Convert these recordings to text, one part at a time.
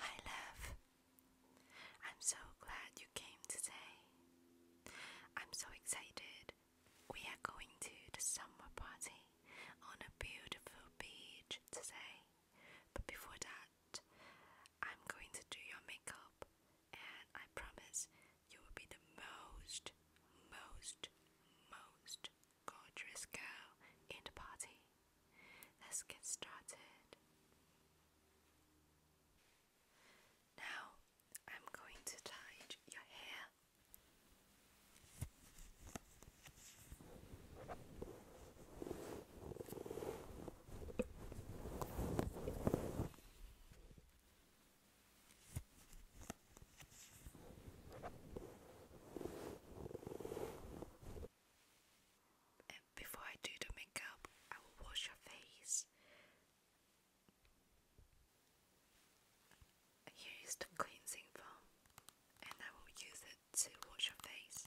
Hi, love. I'm so glad you came today. I'm so excited. We are going to the summer party on a beautiful beach today. But before that, I'm going to do your makeup, and I promise you will be the most, most, most gorgeous girl in the party. Let's get started. Now I'm going to tie your hair before I do the makeup, I will wash your face. Here is the cleansing foam, and I will use it to wash your face.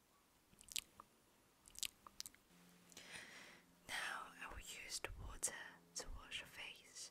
Now I will use the water to wash your face.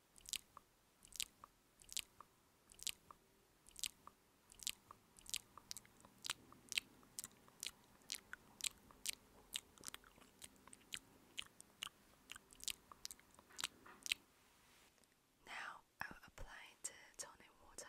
Now I will apply the toning water.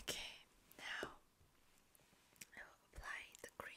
Okay, now I will apply the cream.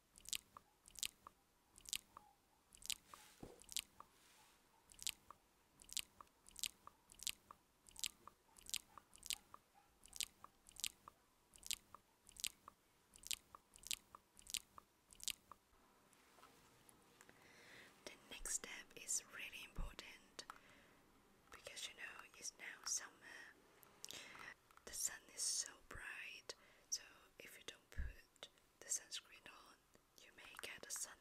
The next step is really important because you know it's now summer. The sun is so bright, so if you don't put the sunscreen on, you may get a sunburn.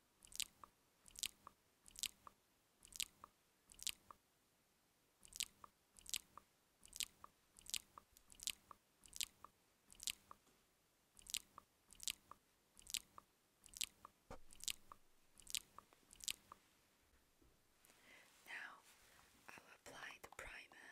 Now I'll apply the primer.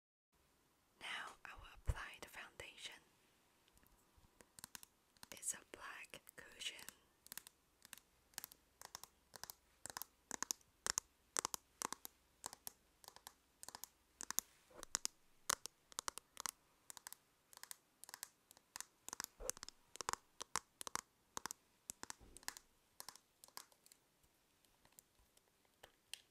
Now I will apply the foundation. It's a black cushion.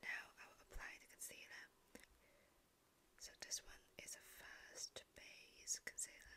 Now I will apply the concealer. So this one is a first base concealer.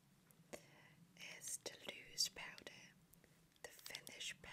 is Toulouse powder, the Finnish powder.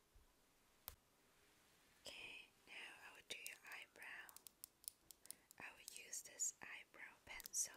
Okay, now I will do your eyebrow. I will use this eyebrow pencil.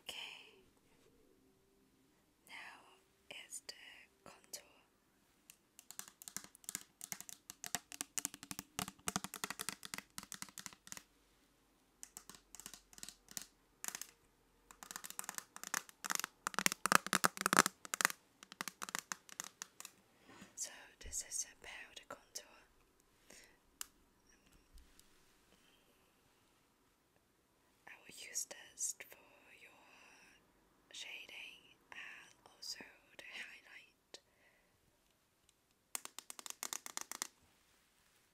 Okay, now is the contour. So this is a powder contour. I will use this for your shading and also the highlight.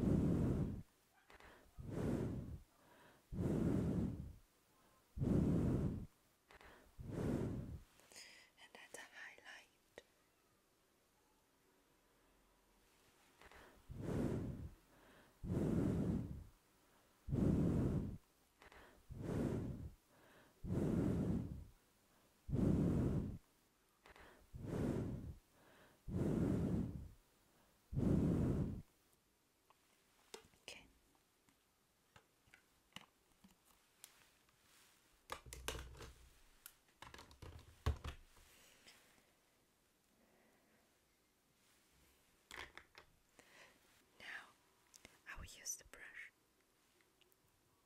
and that's a highlight. Okay. Now I will use the brush.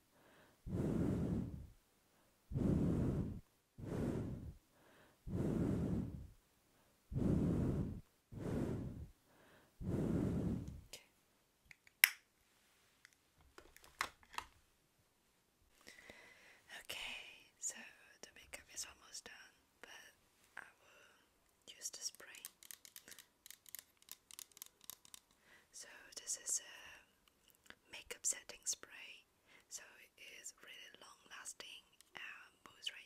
Okay. Okay, so the makeup is almost done, but I will use the spray. So this is a uh, makeup setting spray, so it is really long lasting and moisturizing.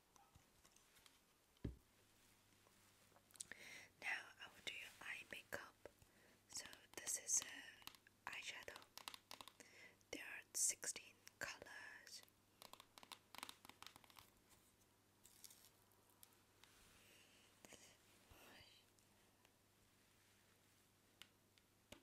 Now I will do your eye makeup. So this is eyeshadow. There are 16 colors.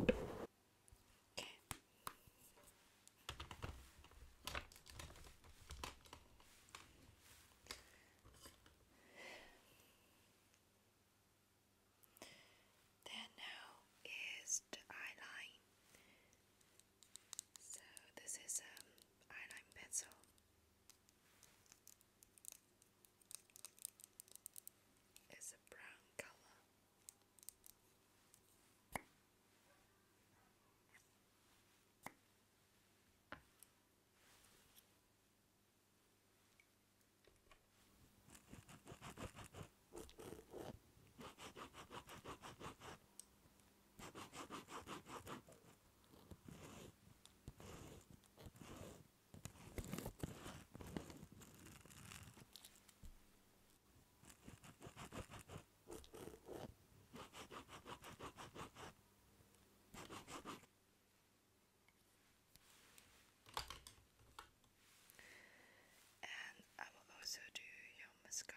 Okay. There now is the so this is um eyeline pencil. It's a brown color. And I will also do your mascara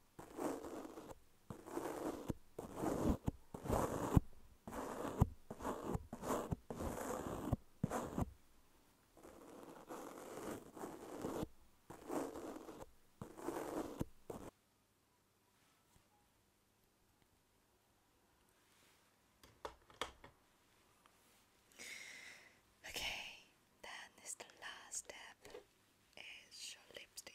Okay, then is the last step is your lipstick.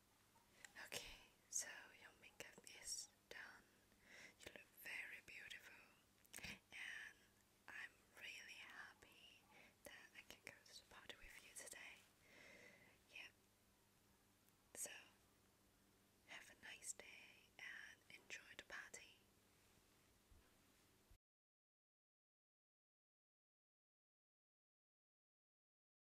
Okay, so your makeup is done. You look very beautiful, and I'm really happy that I can go to the party with you today. Yep. So, have a nice day and enjoy the party.